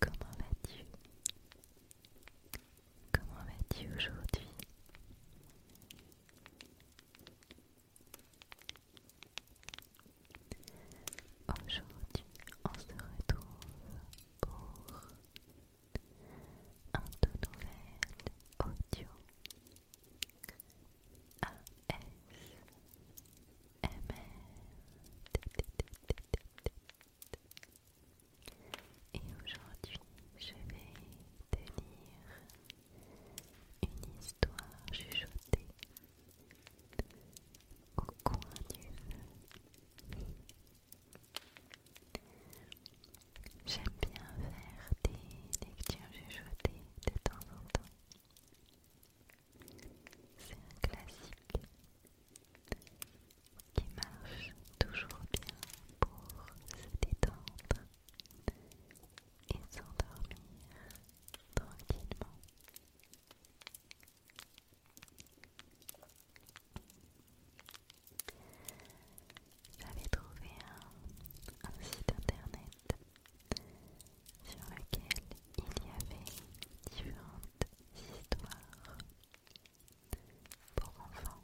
Comment vas-tu Comment vas-tu aujourd'hui Aujourd'hui, on se retrouve pour un tout nouvel audio A.S et aujourd'hui, je vais te lire une histoire chuchotée au coin du feu. J'aime bien faire des lectures chuchotées de temps en temps. C'est un classique qui marche toujours bien pour se détendre et s'endormir tranquillement. J'avais trouvé un, site internet sur lequel il y avait différentes histoires pour enfants.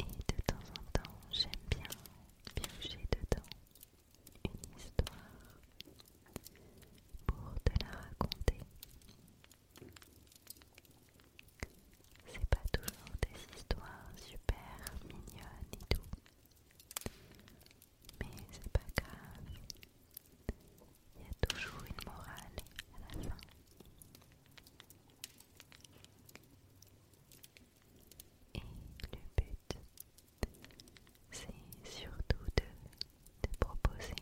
Et de temps en temps, j'aime bien piocher dedans une histoire pour te la raconter. C'est pas toujours des histoires super mignonnes et tout. Mais c'est pas grave. Il y a toujours une morale à la fin. Et le but, c'est surtout de te proposer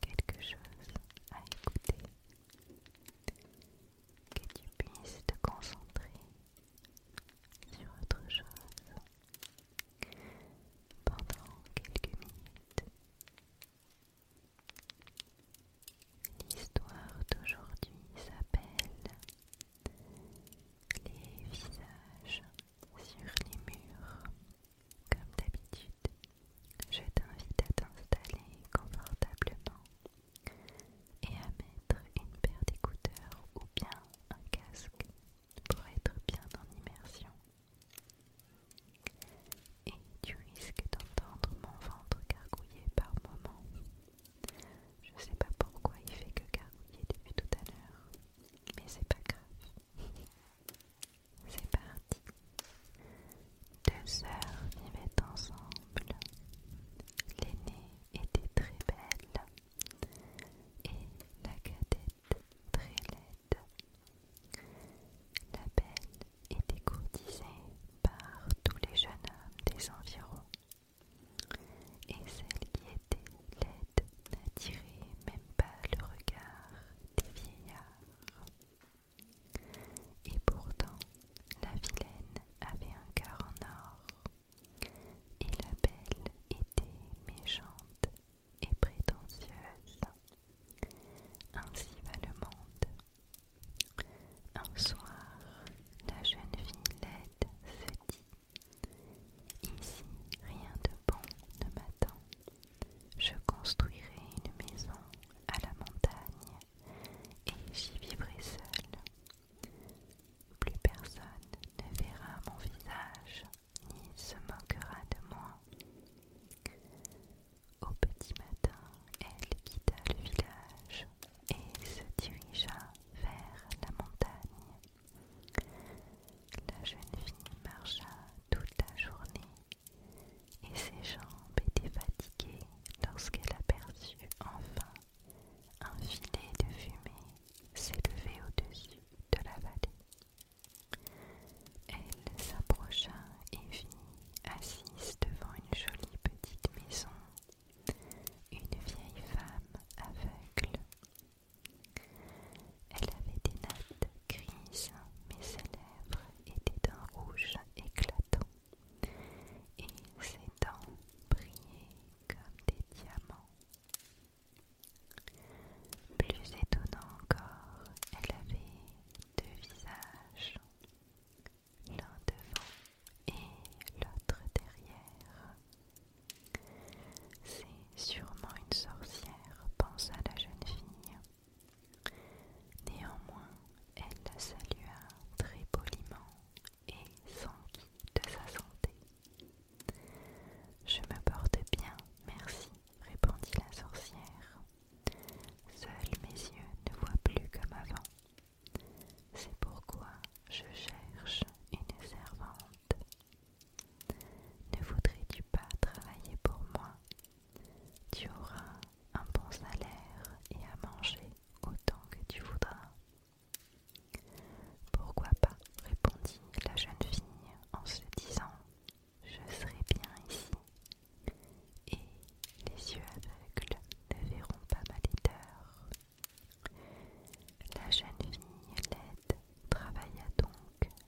quelque chose à écouter, que tu puisses te concentrer sur autre chose pendant quelques minutes. L'histoire d'aujourd'hui s'appelle Les visages sur les murs. Comme d'habitude, je t'invite à t'installer confortablement et à mettre une paire d'écouteurs ou bien un casque pour être bien en immersion. Et tu risques d'entendre mon ventre gargouiller par moments. Je sais pas pourquoi il fait que gargouiller depuis tout à l'heure, mais c'est pas grave. C'est parti. Deux sœurs vivaient ensemble. L'aîné était très belle et la cadette très laide. La belle était courtisée par tous les jeunes hommes des environs et celle qui était laide n'attirait même pas le regard des vieillards. Et pourtant, la vilaine avait un cœur en or. Et la belle était méchante et prétentieuse. Ainsi va le monde. Un soir, la jeune fille laide se dit Ici, rien de bon ne m'attend. Je construirai une maison à la montagne et j'y vivrai seule. Plus personne ne verra mon visage, ni se moquera de moi. Au petit matin, elle quitta le village et se dirigea vers la montagne. La jeune fille marcha toute la journée et ses jambes étaient fatiguées lorsqu'elle aperçut enfin un filet de fumée s'élevait au-dessus de la vallée. Elle s'approcha et vit, assise devant une jolie petite maison, une vieille femme aveugle. Elle avait des nattes grises, mais ses lèvres étaient d'un rouge éclatant et ses dents brillaient comme des diamants. Plus étonnant encore, elle avait deux visages, l'un devant et l'autre derrière. C'est sûrement une sorcière, pensa la jeune fille. Néanmoins, elle la salua très poliment et s'enquit de sa santé. Je me porte bien, merci, répondit la sorcière. Seuls mes yeux ne voient plus comme avant. C'est pourquoi je cherche une servante. Ne voudrais-tu pas travailler pour moi Tu auras un bon salaire et à manger autant que tu voudras. Pourquoi pas répondit la jeune fille en se disant Je serai bien ici. Et les yeux aveugles ne verront pas ma laideur. La jeune fille laide travailla donc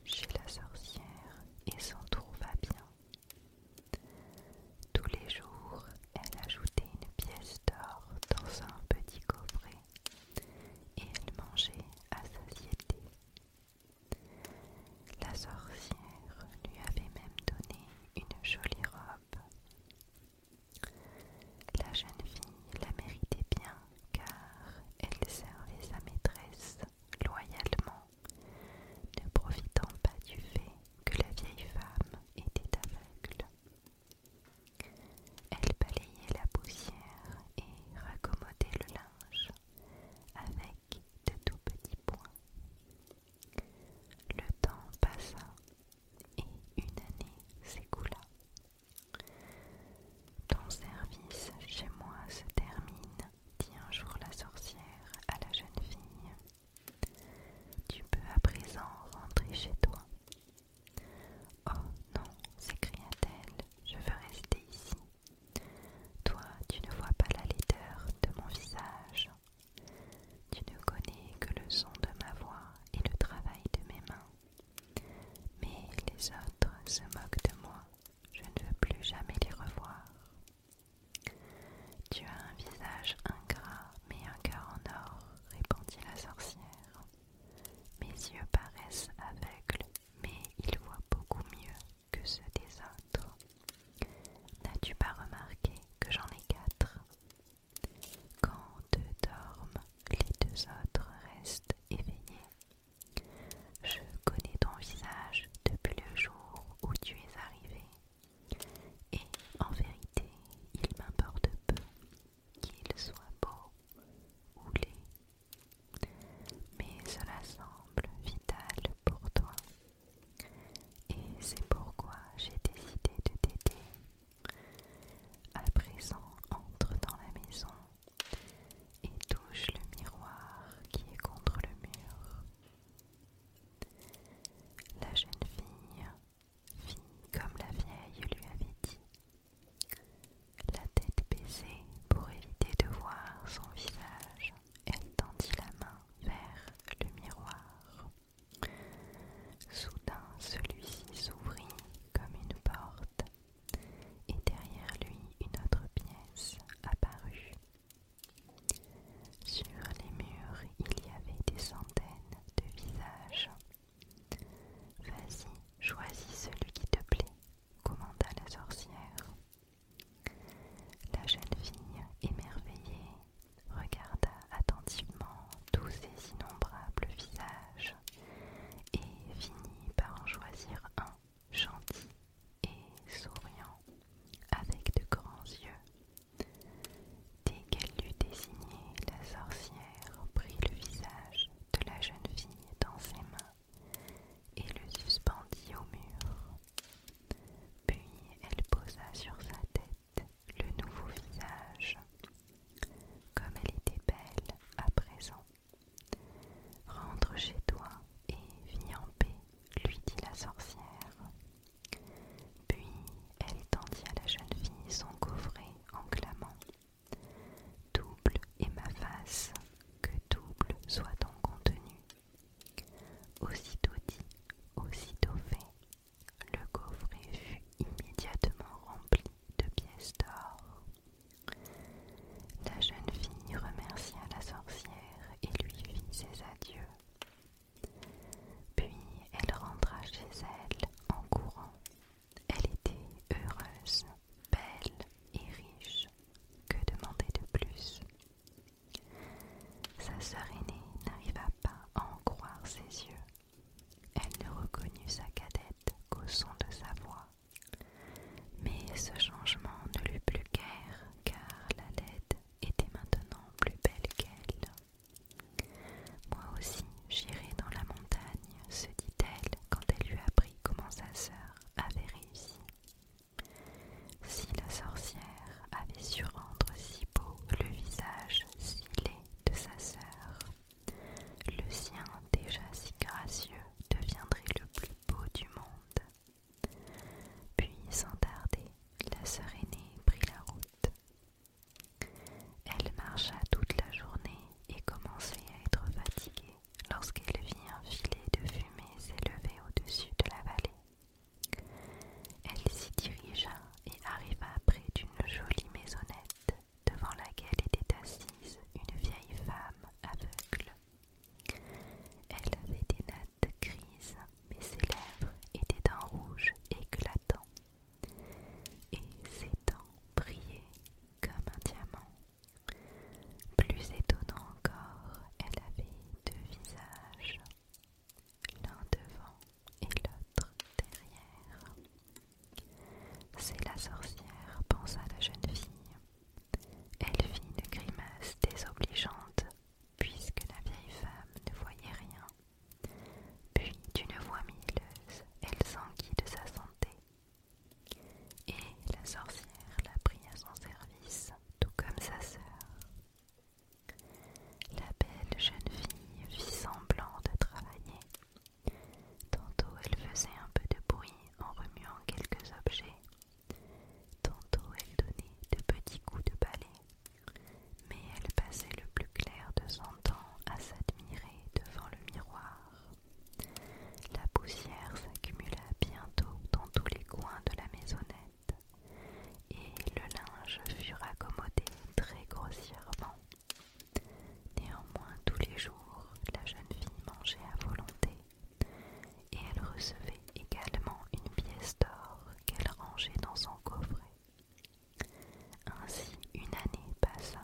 chez la sorcière et s'en trouva bien. Tous les jours, elle ajoutait une pièce d'or dans un petit coffret et elle mangeait à satiété. La sorcière lui avait même donné une jolie robe. La jeune fille la méritait bien car elle servait sa maîtresse loyalement, ne profitant pas du fait que la vieille femme était aveugle. Elle balayait la poussière et raccommodait le linge avec de tout petits points. Le temps passa et une année s'écoula. Ton service chez moi se termine, dit un jour la sorcière à la jeune fille tu peux à présent rentrer chez toi. Oh non, s'écria-t-elle, je veux rester ici. Toi, tu ne vois pas la laideur de mon visage. Tu ne connais que le son de ma voix et le travail de mes mains. Mais les autres se moquent de moi. Je ne veux plus jamais les revoir. Tu as un visage ingrat, mais un cœur en or, répondit la sorcière. Mes yeux paraissent aveugles, mais ils voient beaucoup mieux que ceux des autres. N'as-tu pas remarqué que j'en ai quatre Quand deux dorment, les deux autres restent éveillés. Je connais ton visage depuis le jour où tu es arrivé et en vérité, il m'importe peu qu'il soit beau ou laid, mais cela semble vital pour toi. Et c'est pourquoi j'ai décidé de t'aider. À présent, entre dans la maison et touche le miroir qui est contre le mur. La jeune fille, fit comme la vieille, lui avait dit, la tête baissée pour éviter de voir son visage, elle tendit la main vers le miroir. Soudain celui-ci s'ouvrit comme une porte, et derrière lui une autre pièce apparut sur les murs, il y avait des centaines de visages. Vas-y, choisis celui qui te plaît, commanda la sorcière. La jeune fille, émerveillée, regarda attentivement tous ces innombrables visages et finit par en choisir un gentil et souriant avec de grands yeux. Dès qu'elle l'eut désigné, la sorcière prit le visage de la jeune fille dans ses mains et le suspendit au mur. Puis elle posa sur sa tête le nouveau visage, comme elle était belle à présent. Rentre chez toi et vis en paix lui dit la sorcière. Puis elle tendit à la jeune fille son coffret en clamant Double est ma face, que double soit ton contenu. Aussitôt dit, aussitôt fait, le coffret fut immédiatement rempli de pièces d'or. La jeune fille remercia la sorcière et lui fit ses adieux. Puis elle rentra chez elle en courant. Elle était heureuse, belle et riche. Que demander de plus Sa sœur aînée n'arriva pas à en croire ses yeux. Elle ne reconnut sa cadette qu'au son de sa voix. Mais ce changement ne lui plus guère car la LED était maintenant plus belle qu'elle. Moi aussi, j'irai dans la montagne, se dit-elle quand elle lui apprit comment sa sœur avait réussi. Si la sorcière avait su rendre si beau le visage si laid de sa sœur, le sien déjà si gracieux deviendrait le plus beau du monde. Puis, sans tarder, la sœur aînée prit la route. Elle marcha toute la journée et commençait à être fatiguée lorsqu'elle vit un filet de fumée s'élever au-dessus de la vallée. Elle s'y dirigea et arriva près d'une jolie maisonnette devant laquelle était assise une vieille femme aveugle. Elle avait des nattes grises, mais ses lèvres étaient d'un rouge éclatant, et ses dents brillaient comme un diamant. Plus étonnant encore, elle avait deux visages, l'un devant et l'autre derrière. C'est la sorcière, pensa la jeune fille. Elle fit une grimace désobligeante, puisque la vieille femme ne voyait rien. Puis, d'une voix mielleuse, elle s'enquit de sa santé. Et la sorcière la prit à son service, tout comme sa sœur. La belle jeune fille fit semblant de travailler. Tantôt elle faisait un peu de bruit en remuant quelques objets, Tantôt elle donnait de petits coups de balai, mais elle passait le plus clair de son temps à s'admirer devant le miroir. La poussière s'accumula bientôt dans tous les coins de la maisonnette, et le linge fut raccommodé très grossièrement. Néanmoins, tous les jours, la jeune fille mangeait à volonté et elle recevait également une pièce d'or qu'elle rangeait dans son coffret. Ainsi une année passa.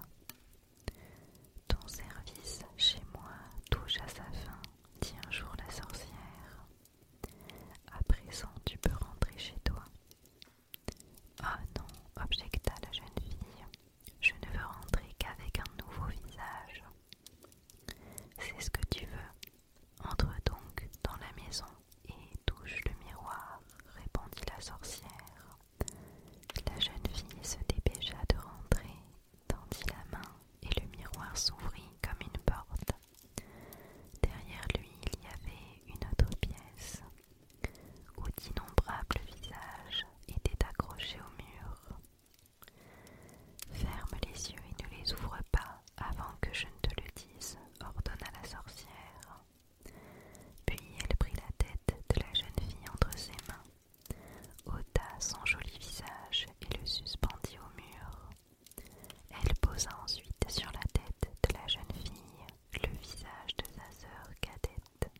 Ton service chez moi touche à sa fin, dit un jour la sorcière. À présent tu peux rentrer chez toi. Ah oh non, objecta la jeune fille, je ne veux rentrer qu'avec un nouveau visage. C'est ce que tu veux. Entre donc dans la maison et touche le miroir, répondit la sorcière. La jeune fille se dépêcha de rentrer, tendit la main et le miroir s'ouvrit comme une porte. Derrière lui, il y avait une autre pièce où d'innombrables visages étaient accrochés au mur. Ferme les yeux et ne les ouvre pas avant que je ne te le dise, ordonna la sorcière. Puis elle prit la tête de la jeune fille entre ses mains, ôta son joli visage et le suspendit au mur. Elle posa ensuite sur la tête de la jeune fille le visage de sa sœur cadette.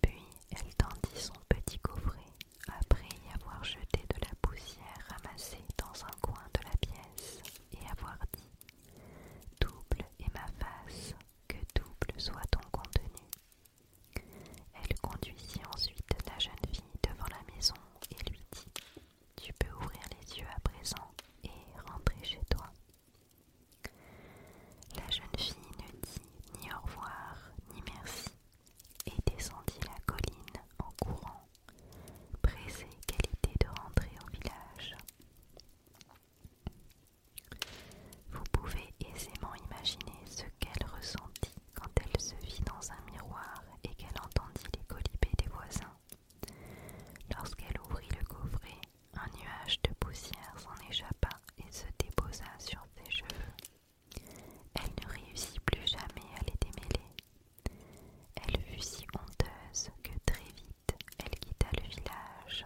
Puis elle tendit son petit coffret après y avoir jeté de la poussière ramassée dans un coin de la pièce et avoir dit Double est ma face, que double soit ton contenu. Elle conduisit ensuite la jeune fille devant la maison et lui dit Tu peux ouvrir les yeux à présent et rentrer chez toi. La jeune fille ne dit ni au revoir ni merci et descendit la colline en courant, pressée qu'elle était de rentrer au village. Vous pouvez aisément imaginer ce qu'elle ressentit quand elle se vit dans un miroir et qu'elle entendit les colibés des voisins. Lorsqu'elle ouvrit le coffret, un nuage de poussière s'en échappa et se déposa sur ses cheveux. Elle ne réussit plus jamais à les démêler. Elle fut si honteuse que très vite elle quitta le village.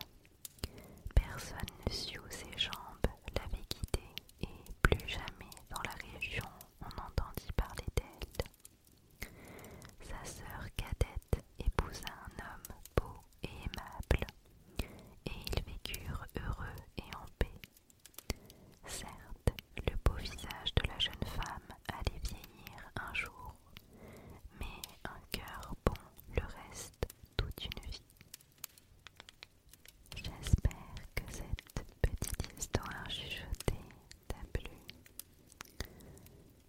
Personne ne sut où ses jambes l'avaient quittée et plus jamais dans la région on entendit parler d'elle. Sa sœur cadette épousa un homme beau et aimable, et ils vécurent heureux et en paix. Certes, le beau visage de la jeune femme allait vieillir un jour, mais un cœur bon le reste toute une vie. J'espère que cette petite histoire chuchotée t'a plu.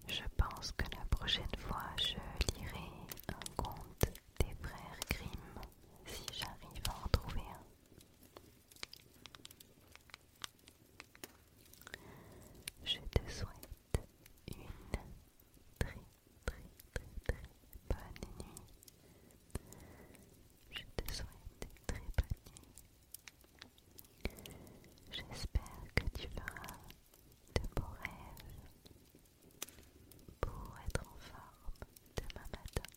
Je pense que la prochaine fois je lirai un conte des frères Grimm, si j'arrive à en trouver un. Je te souhaite une très très très très bonne nuit. Je te souhaite une très bonne nuit. J'espère que tu feras de beaux rêves pour être en forme demain matin.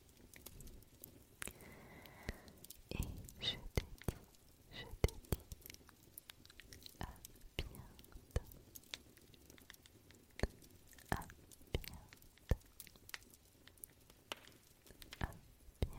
Et je te dis, je te dis à bientôt. À bientôt. À bientôt.